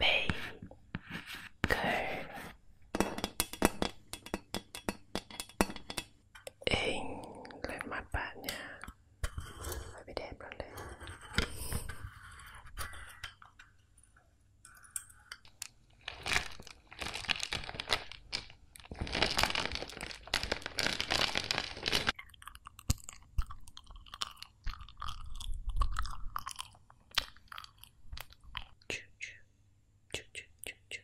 baker in lên mặt bạn nha phải bị đẹp lắm đấy Choo choo choo choo choo choo.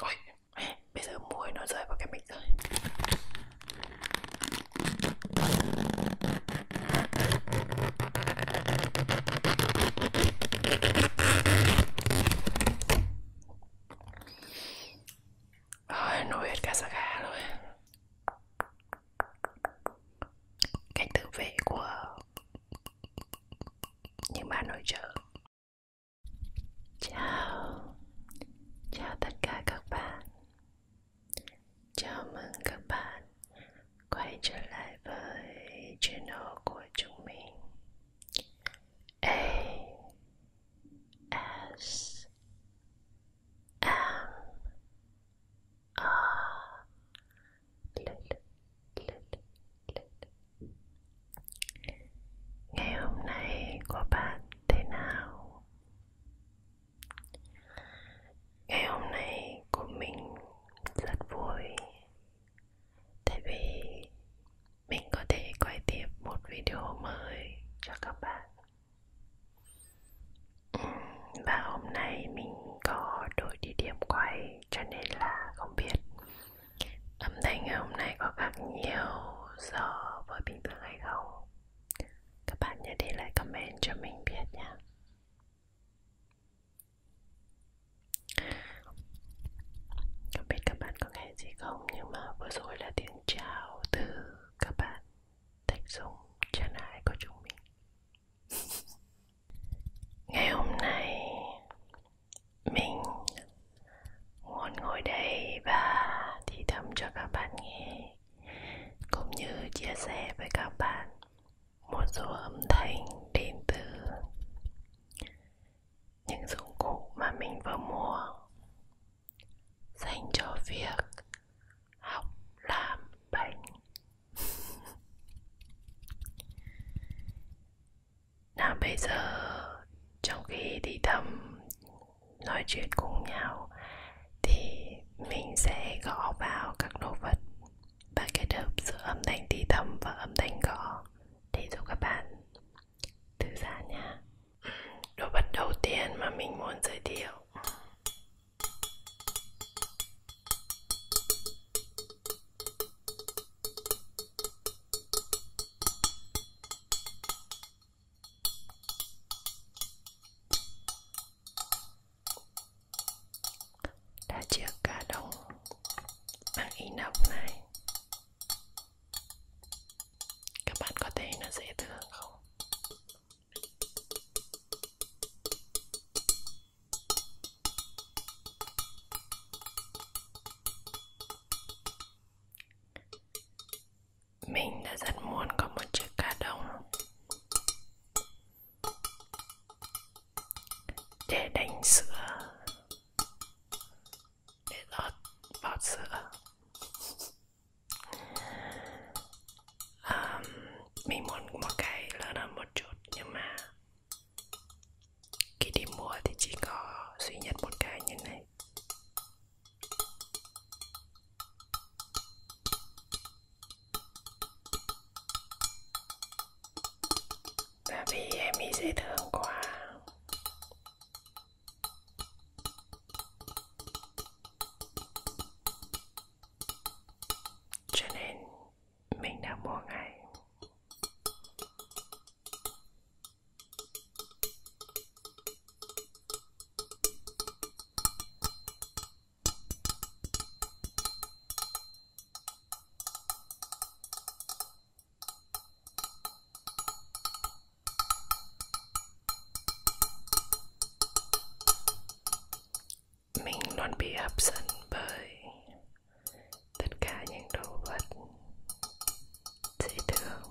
Ôi, bây giờ muối nó rơi vào cái mic rồi. Aj, nu érkezek el. Cái tự vệ của những bạn nội trợ. Chào. Chào tất cả các bạn. Chào mừng các bạn quay trở lại với channel của chúng mình A S M R Ngày hôm nay của bạn thế nào? Ngày hôm nay của mình rất vui tại vì mình có thể quay tiếp một video mới cho các bạn và hôm nay mình có đổi địa điểm quay cho nên là không biết âm thanh ngày hôm nay có khác nhiều so với bình thường hay không các bạn nhớ để lại comment cho mình biết nha không biết các bạn có nghe gì không Nhưng mà vừa rồi là tiếng chào từ các bạn Thạch Dung, channel của chúng mình Ngày hôm nay Mình muốn ngồi đây và thì thầm cho các bạn nghe Cũng như chia sẻ với các bạn một số âm thanh đến từ những dụng cụ mà mình vừa mua dành cho việc học làm bánh nào bây giờ trong khi đi thầm nói chuyện cùng nhau thì mình sẽ gõ vào các đồ vật và kết hợp giữa âm thanh thì thầm và âm thanh gõ để giúp các bạn thư giãn nha đồ vật đầu tiên mà mình muốn giới thiệu đã chia cả đống bằng inox này các bạn có thấy nó dễ thương không mình đã rất muốn có một chiếc cá đồng để đánh sữa để lót bọt sữa um, mình muốn một cái lớn hơn một chút nhưng mà khi đi mua thì chỉ có duy nhất một cái như này Tại vì em ấy dễ thương quá Cho nên mình đã mua ngay mình luôn bị hấp dẫn bởi tất cả những đồ vật dễ thương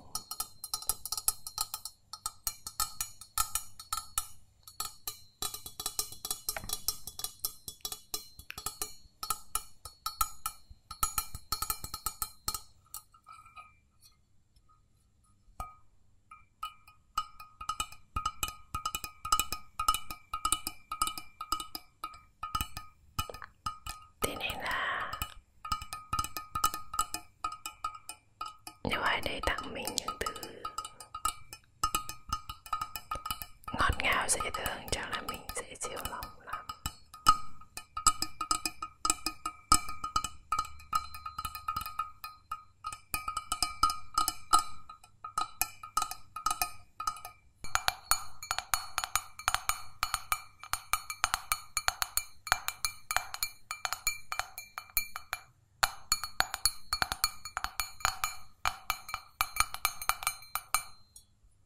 Thế nên là nếu ai đấy tặng mình những thứ ngọt ngào dễ thương chắc là mình dễ chịu lòng lắm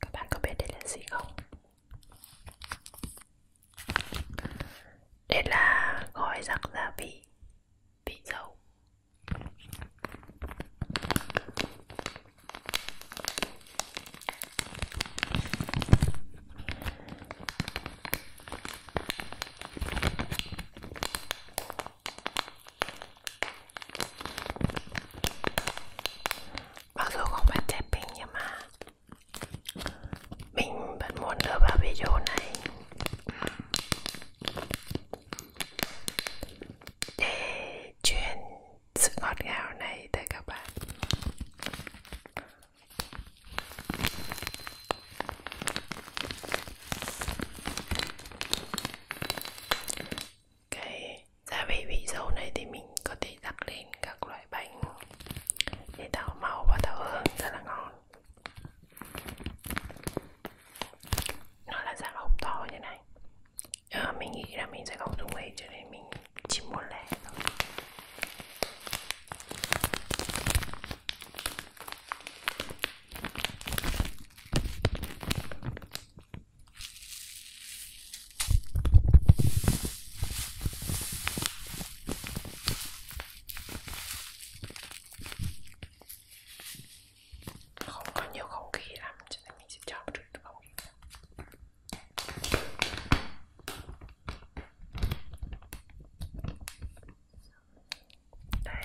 Các bạn có biết đây là gì không? Đây là gói giặc gia vị Vị dầu mặc dù không phải trái pin nhưng mà mình vẫn muốn đưa vào video này để truyền sự ngọt ngào này tới các bạn cái gia vị vị dầu này thì mình có thể đặt lên các loại bánh để tạo màu và tạo hương rất là ngon nó là dạng hộp to như này à, mình nghĩ là mình sẽ không dùng ấy cho nên mình chỉ muốn lẻ thôi không có nhiều không khí lắm cho nên mình sẽ cho một chút không khí đây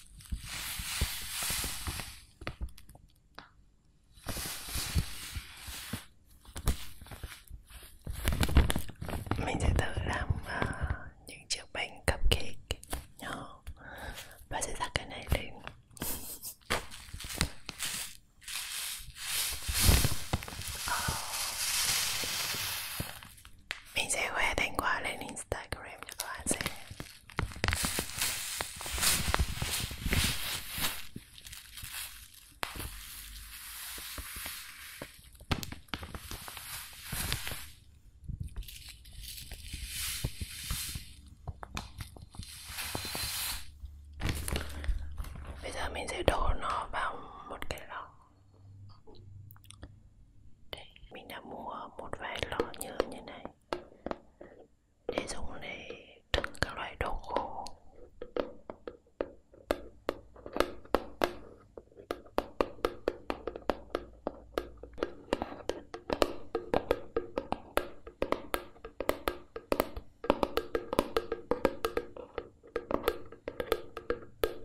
Mình sẽ thử làm uh, những chiếc bánh cupcake nhỏ Và sẽ đặt cái này lên Mi seguete in quale? In Instagram các bạn sẽ Bây giờ mình sẽ đổ nó vào một cái lọ đây, mình đã mua một vài lọ nhớm như này để dùng để đựng các loại đồ khô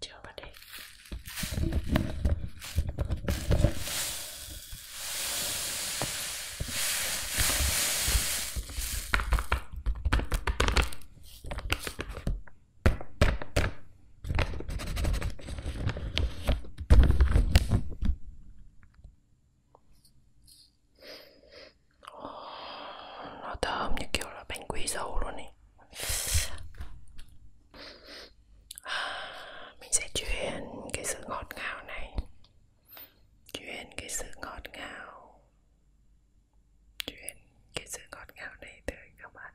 Chưa vào đây nó thơm như kiểu là bánh quy dầu luôn ấy mình sẽ truyền cái sự ngọt ngào này truyền cái sự ngọt ngào truyền cái sự ngọt ngào này tới các bạn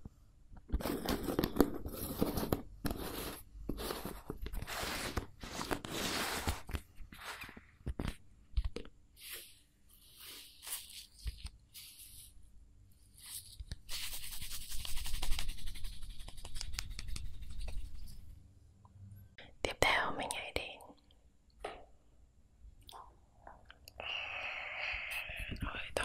Tiếp theo mình hãy đến hơi thở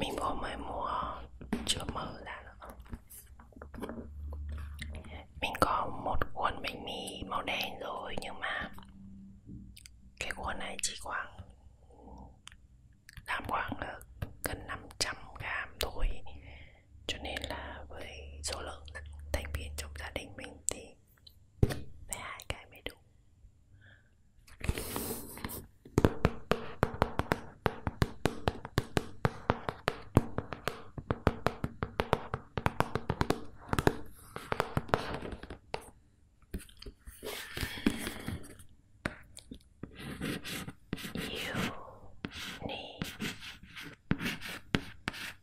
mình có mới mua chưa mở ra nữa mình có một cuốn bánh mì màu đen rồi nhưng mà cái cuốn này chỉ khoảng làm khoảng là gần 500 gram thôi cho nên là với số lượng thành viên trong gia đình mình thì phải hai cái mới đủ You need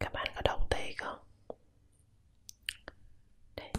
các bạn có đồng thấy không Đây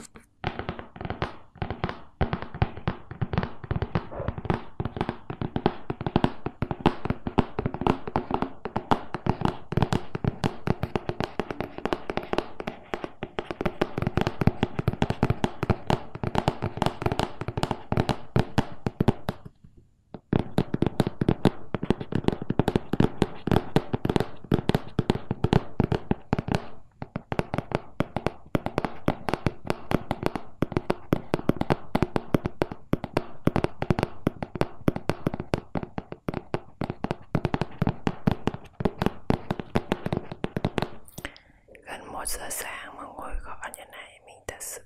gần một giờ sáng mà ngồi gõ như này mình thật sự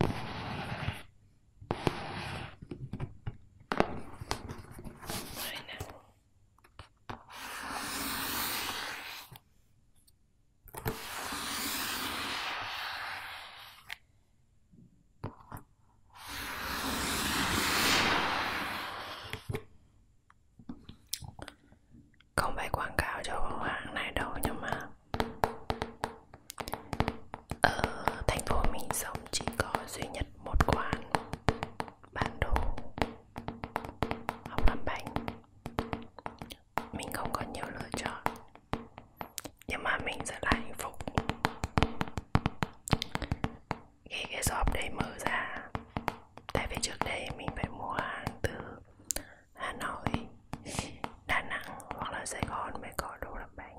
Aynen. Không phải quảng cáo cho con hoàng này đâu nhưng mà ở ờ, thành phố mình sống chỉ có duy nhất một quán bán đồ hoặc làm bánh Mình không có nhiều lựa chọn Nhưng mà mình rất là hạnh phúc Khi cái shop đấy mở ra Tại vì trước đây mình phải mua hàng từ Hà Nội Đà Nẵng hoặc là Sài Gòn mới có đồ làm bánh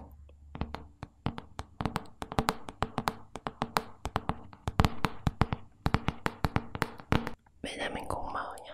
Bây giờ mình cùng mở nhá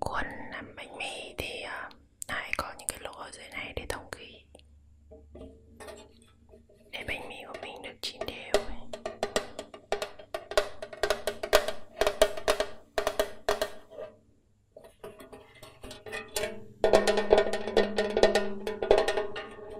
Cuốn làm bánh mì thì ờ, lại có những cái lỗ ở dưới này để thông khí Để bánh mì của mình được chín đều ấy.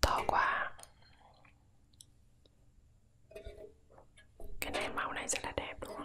to quá cái này màu này rất là đẹp đúng không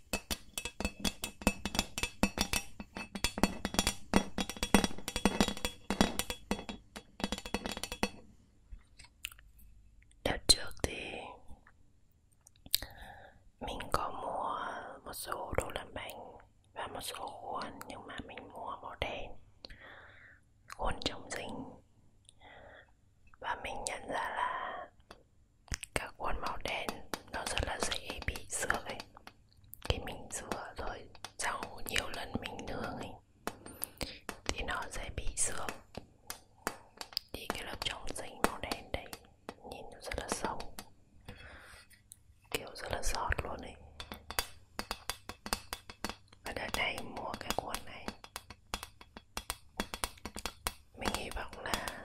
Đợt trước thì mình có mua một số đồ làm bánh và một số khuôn nhưng mà mình mua màu đen khuôn chống dính và mình nhận ra là các cuốn màu đen nó rất là dễ bị xước ấy khi mình rửa rồi sau nhiều lần mình nướng ấy thì nó sẽ bị xước thì cái lớp trong dính màu đen đấy nhìn nó rất là sâu kiểu rất là giọt luôn ấy và đợt này mua cái cuốn này mình hy vọng là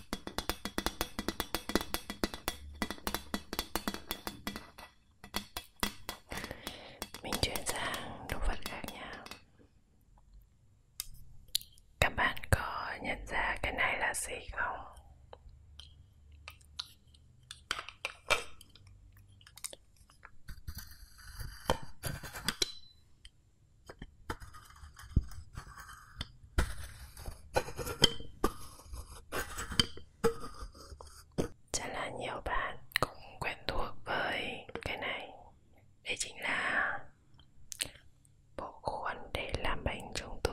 Mình chuyển sang đồ vật khác nha Các bạn có nhận ra cái này là gì không? Chắc là nhiều bạn cũng quen thuộc với cái này Đây chính là bộ khuôn để làm bánh trung thu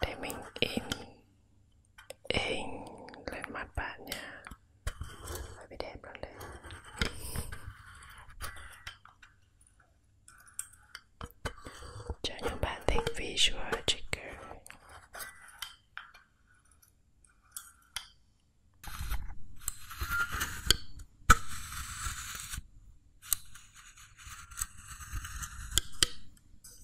để mình in in lên mặt bạn nha phải bị đẹp ra lên cho những bạn thích visual trigger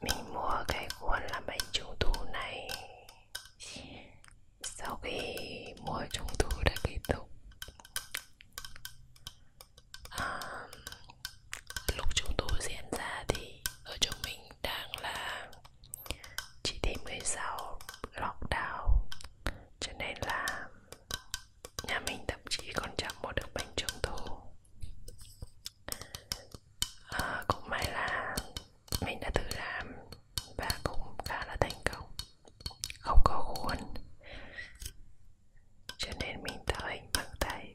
Mình mua cái cuốn làm bánh trung thu này Sau khi mua trung thu đã kết thúc à, Lúc trung thu diễn ra thì ở chỗ mình đang là chỉ thị 16 lockdown Cho nên là nhà mình thậm chí còn chẳng mua được bánh trung thu à, cũng may là mình đã tự làm và cũng khá là thành công không có khuôn cho nên mình tạo hình bằng tay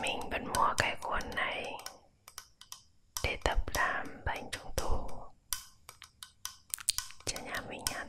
Mình vẫn mua cái cuốn này để tập làm bánh trung thu cho nhà mình ăn.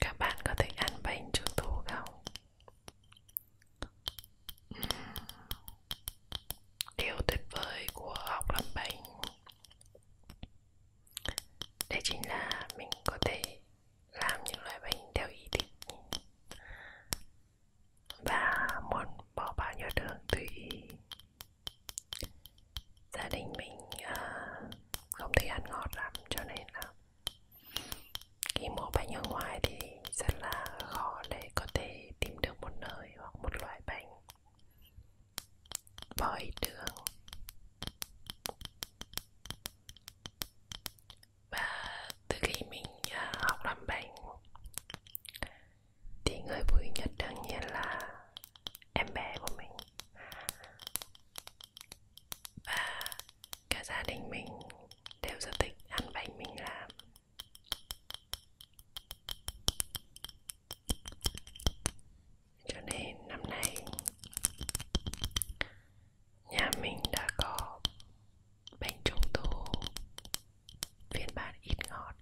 Các bạn có thích ăn bánh trung thu không? Điều tuyệt vời của học làm bánh Đấy chính là mình có thể làm những loại bánh theo ý thích Và muốn bỏ bao nhiêu đường tùy ý Gia đình mình uh, không thích ăn ngọt lắm cho nên là khi mua bánh ở ngoài thì rất là khó để có thể tìm được một nơi hoặc một loại bánh bỏ ít đường và từ khi mình à, học làm bánh thì người vui nhất đương nhiên là em bé của mình và cả gia đình mình đều rất thích ăn bánh mình làm cho nên năm nay nhà mình đã có bánh trung thu phiên bản ít ngọt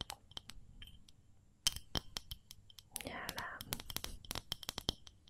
nhà làm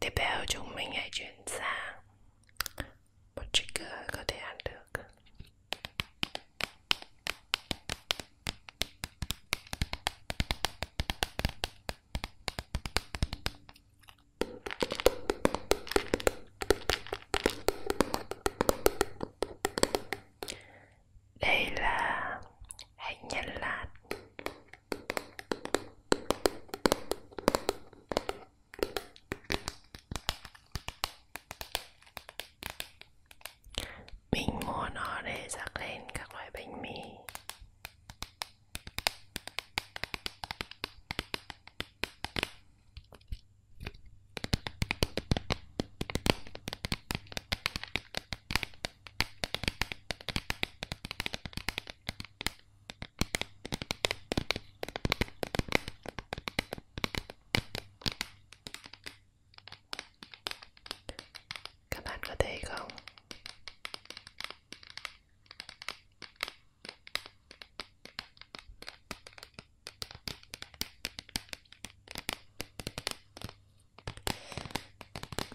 Tiếp theo chúng mình hãy chuyển sang một trigger có thể ăn được đây là hạnh nhân lạt mình mua nó để rắc lên các loại bánh mì các bạn có thấy không?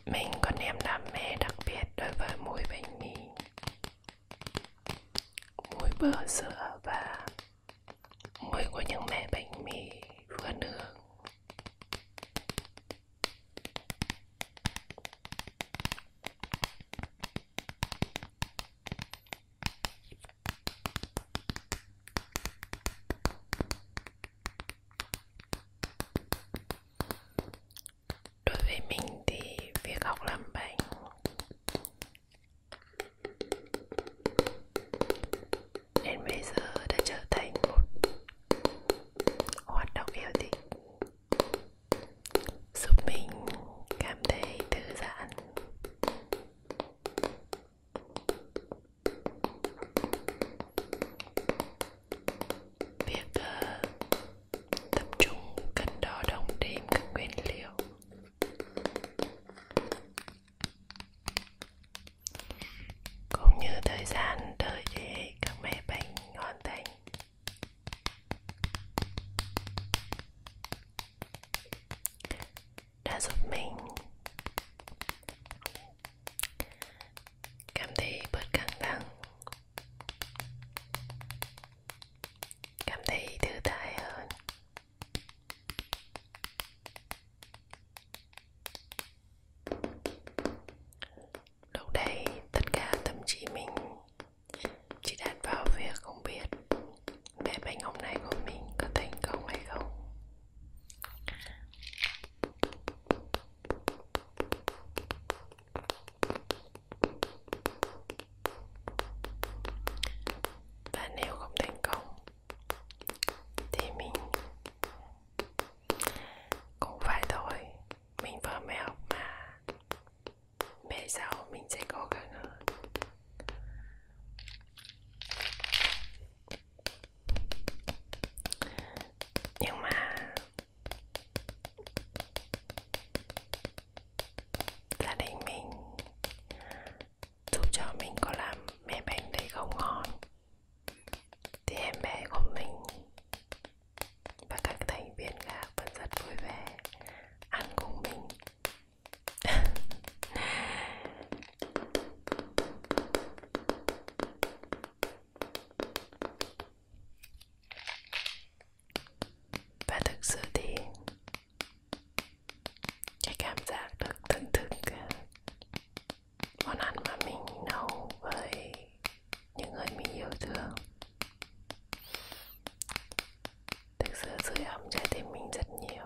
Mình có niềm đam mê đặc biệt đối với mùi bánh mì Mùi bơ sữa và mùi của những mẻ bánh mì vừa nướng đối với mình thì việc học làm bánh Đến bây giờ đã trở thành một hoạt động yêu thích Giúp mình cảm thấy thư giãn Việc uh, tập trung cần đo đong đếm các nguyên liệu cũng như thời gian đợi để các mẻ bánh hoàn thành đã giúp mình cảm thấy bớt căng thẳng cảm thấy thư thái hơn Lúc đấy tất cả tâm trí mình chỉ đặt vào việc không biết bé bánh hôm nay của mình có thành công hay không và nếu không thành công thì mình cũng phải thôi mình vừa mới học mà về sau mình sẽ cố gắng hơn nhưng mà gia đình mình giúp cho mình có làm mẹ bánh đấy không ngon thì em bé của mình và các thành viên khác vẫn rất vui vẻ ăn cùng mình và thực sự thì cái cảm giác được thưởng thức à, món ăn mà mình nấu với những người mình yêu thương thực sự sưởi ấm trái tim mình rất nhiều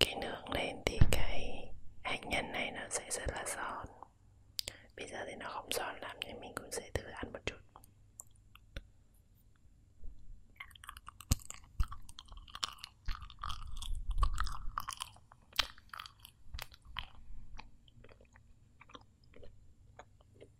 cái nước lên thì cái hạt nhân này nó sẽ rất là giòn bây giờ thì nó không giòn lắm nhưng mình cũng sẽ thử ăn một chút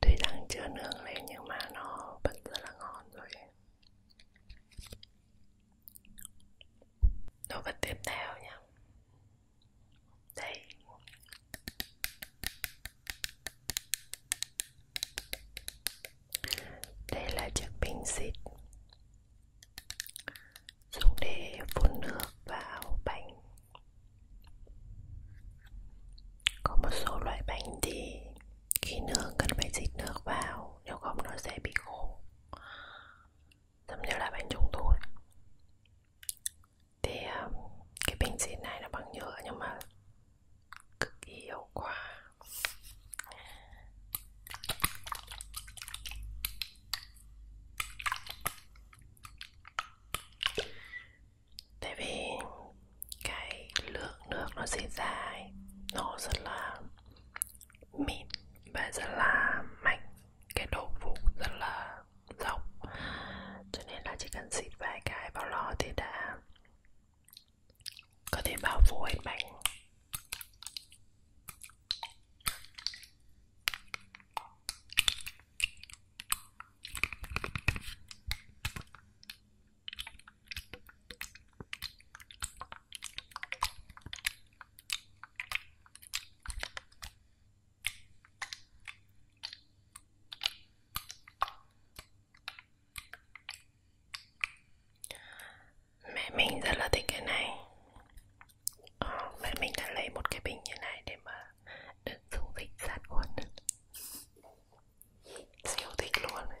Tuy rằng chưa nướng lên nhưng mà nó vẫn rất là ngon rồi Đồ vật tiếp theo nha tengo đây là chiếc bình xịt dùng để phun nước vào bánh có một số loại bánh thì khi nướng cần phải xịt nước vào nếu không nó sẽ bị khô giống như là bánh trung thu này. thì uh, cái bình xịt này là bằng nhựa nhưng mà cực kỳ hiệu quả tại vì cái lượng nước nó xịt ra nó rất là mịn và rất là mạnh cái độ phủ rất là rộng cho nên là chỉ cần xịt vài cái vào lò thì đã có thể bao phủ hết bánh Mẹ mình rất là thích cái này ờ, Mẹ mình đã lấy một cái bình như này để mà đựng dung dịch sát khuẩn Siêu thích luôn ấy.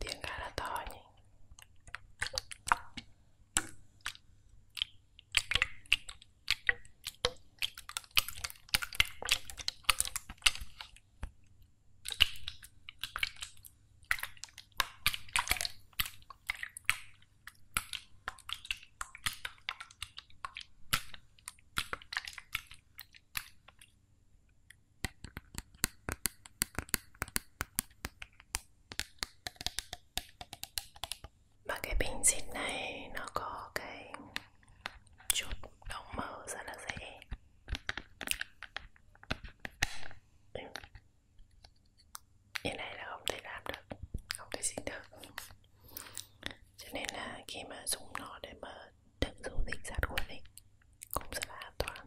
Tiếng khá là to nhỉ và cái bình xịt này nó có cái chút đóng mở rất là dễ cái này là không thể làm được Không thể dịch được Cho nên là khi mà dùng nó để mà tự dùng dịch sát khuẩn ấy Cũng rất là an toàn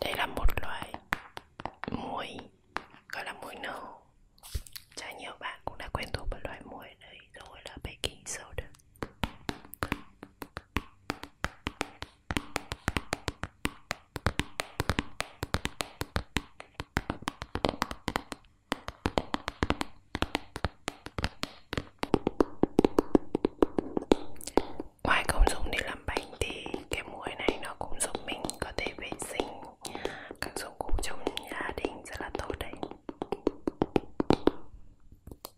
đây là một loại muối gọi là muối nâu Chắc nhiều bạn cũng đã quen thuộc với loại muối đấy rồi là baking soda Ngoài công dụng để làm bánh thì cái muối này nó cũng giúp mình có thể vệ sinh các dụng cụ trong gia đình rất là tốt đấy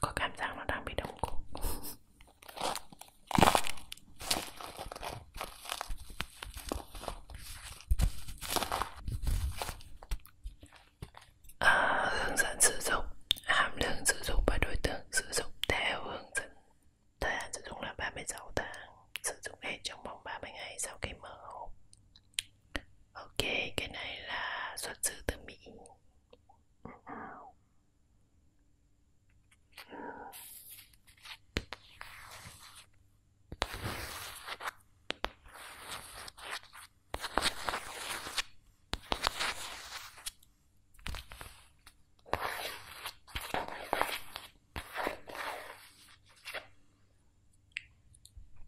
Có cảm giác nó đang bị đóng cục à, ờ, Hướng dẫn sử dụng Hàm lượng sử dụng và đối tượng sử dụng theo hướng dẫn Thời hạn sử dụng là 36 tháng Sử dụng hết trong vòng 30 ngày sau khi mở hộp ok cái này là xuất xứ từ mỹ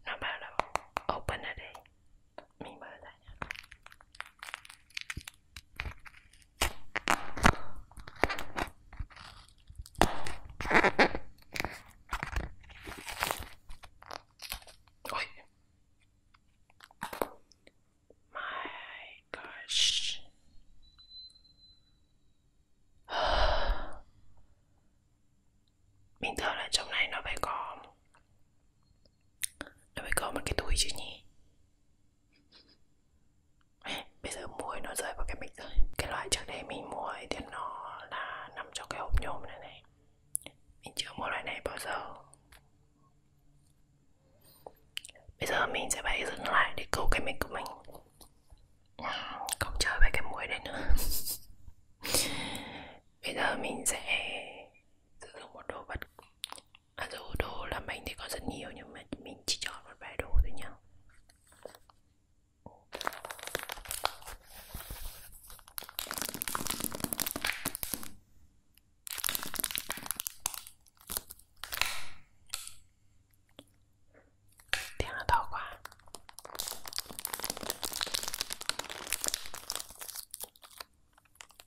nó bảo là open ở đây mình mở ra nha Ôi. My gosh. Bình thường là trong này nó phải có Nó phải có một cái túi chứ nhỉ Bây giờ muối nó rơi vào cái bịch rồi Cái loại trước đây mình mua ấy thì nó là nằm trong cái hộp nhôm này này Mình chưa mua loại này bao giờ Bây giờ mình sẽ phải dừng lại để câu cái mic của mình không chơi với cái mũi đấy nữa bây giờ mình sẽ sử dụng một đồ vật à dù đồ làm bánh thì có rất nhiều nhưng mà mình chỉ chọn một vài đồ thôi nhá 点了桃花。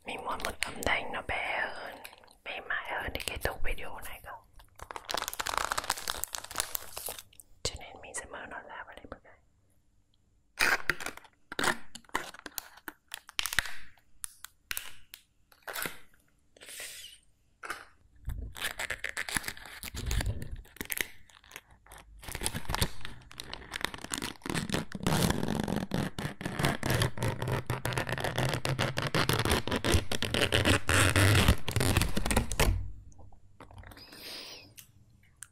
Mình muốn một âm thanh nó bé hơn, bé mại hơn để kết thúc video này cơ. Cho nên mình sẽ mở nó ra và lấy một cái.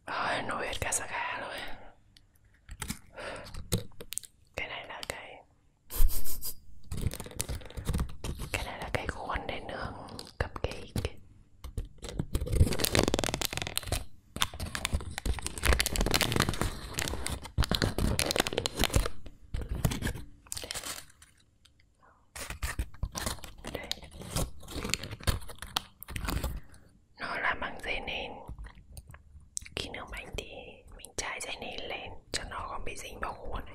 Rồi, nồi hết cả sạc gà rồi Cái này là cái Cái này là cái khuôn để nướng cupcake đây. Nó là bằng dây nền Khi nước bánh thì mình trải dây nền lên cho nó không bị dính vào khuôn này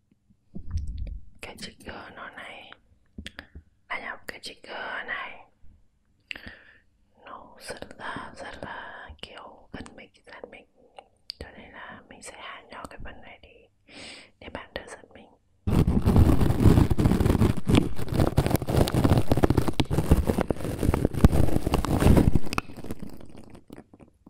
cái trigger nó này đã à nhập cái trigger này nó rất là rất là kiểu gần mình gần mình cho nên là mình sẽ hạ nhỏ cái phần này đi để bạn đỡ giật mình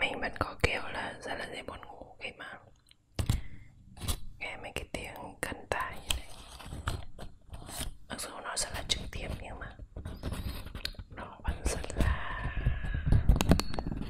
mình vẫn có kiểu là rất là dễ buồn ngủ khi mà nghe mấy cái tiếng cân tai như này mặc dù nó rất là trực tiếp nhưng mà nó vẫn rất là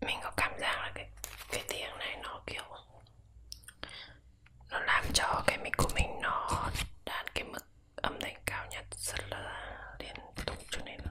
mình có cảm giác là cái cái tiếng này nó kiểu nó làm cho cái mic của mình nó đạt cái mức âm thanh cao nhất rất là liên tục cho nên là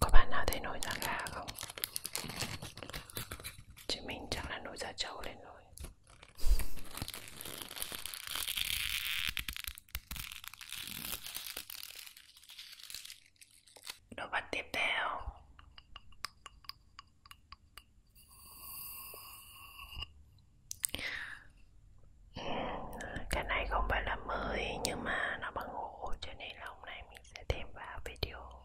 Có bạn nào thấy nổi da gà không? Chứ mình chắc là nổi da trâu lên rồi Đồ vật tiếp theo ừ, Cái này không phải là mới nhưng mà nó bằng gỗ cho nên là hôm nay mình sẽ thêm vào video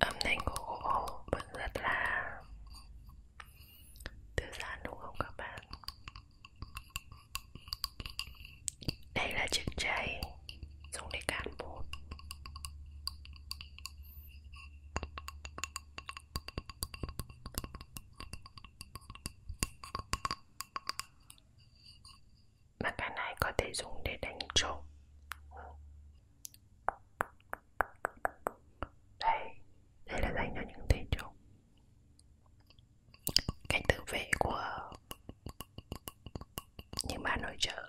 âm thanh của gỗ vẫn rất là thư giãn đúng không các bạn đây là chiếc chày dùng để cán bột mà cái này có thể dùng để đánh trộm đây đây là dành cho những tên trộm cách tự vệ của những bà nội trợ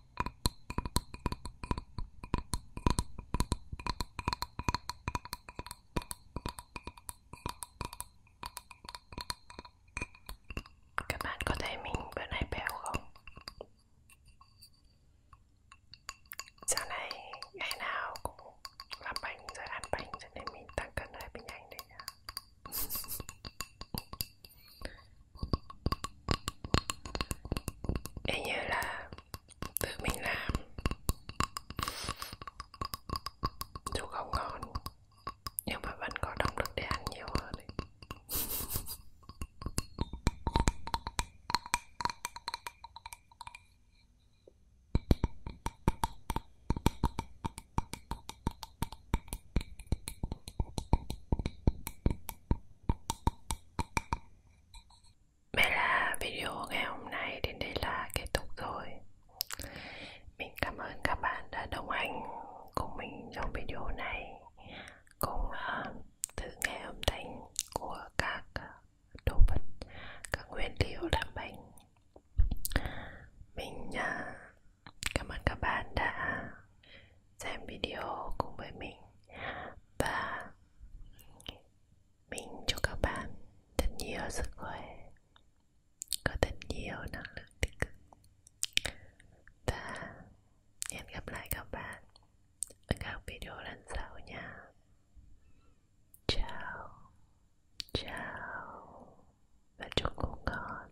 Các bạn có thấy mình bữa nay béo không? Sau này ngày nào cũng làm bánh rồi ăn bánh cho nên mình tăng cân hơi bị nhanh đấy nhá y như là tự mình làm dù không ngon nhưng mà vẫn có động lực để ăn nhiều hơn ấy. Vậy là video ngày hôm nay đến đây là kết thúc rồi Mình cảm ơn các bạn đã đồng hành cùng mình trong video này Cùng uh, ờ, thử nghe âm thanh của các đồ vật, các nguyên liệu làm bánh Mình uh, cảm ơn các bạn đã xem video cùng với mình và mình chúc các bạn thật nhiều sức khỏe có thật nhiều năng lượng tích cực và hẹn gặp lại các bạn ở các video lần sau nha chào chào và chúc ngủ ngon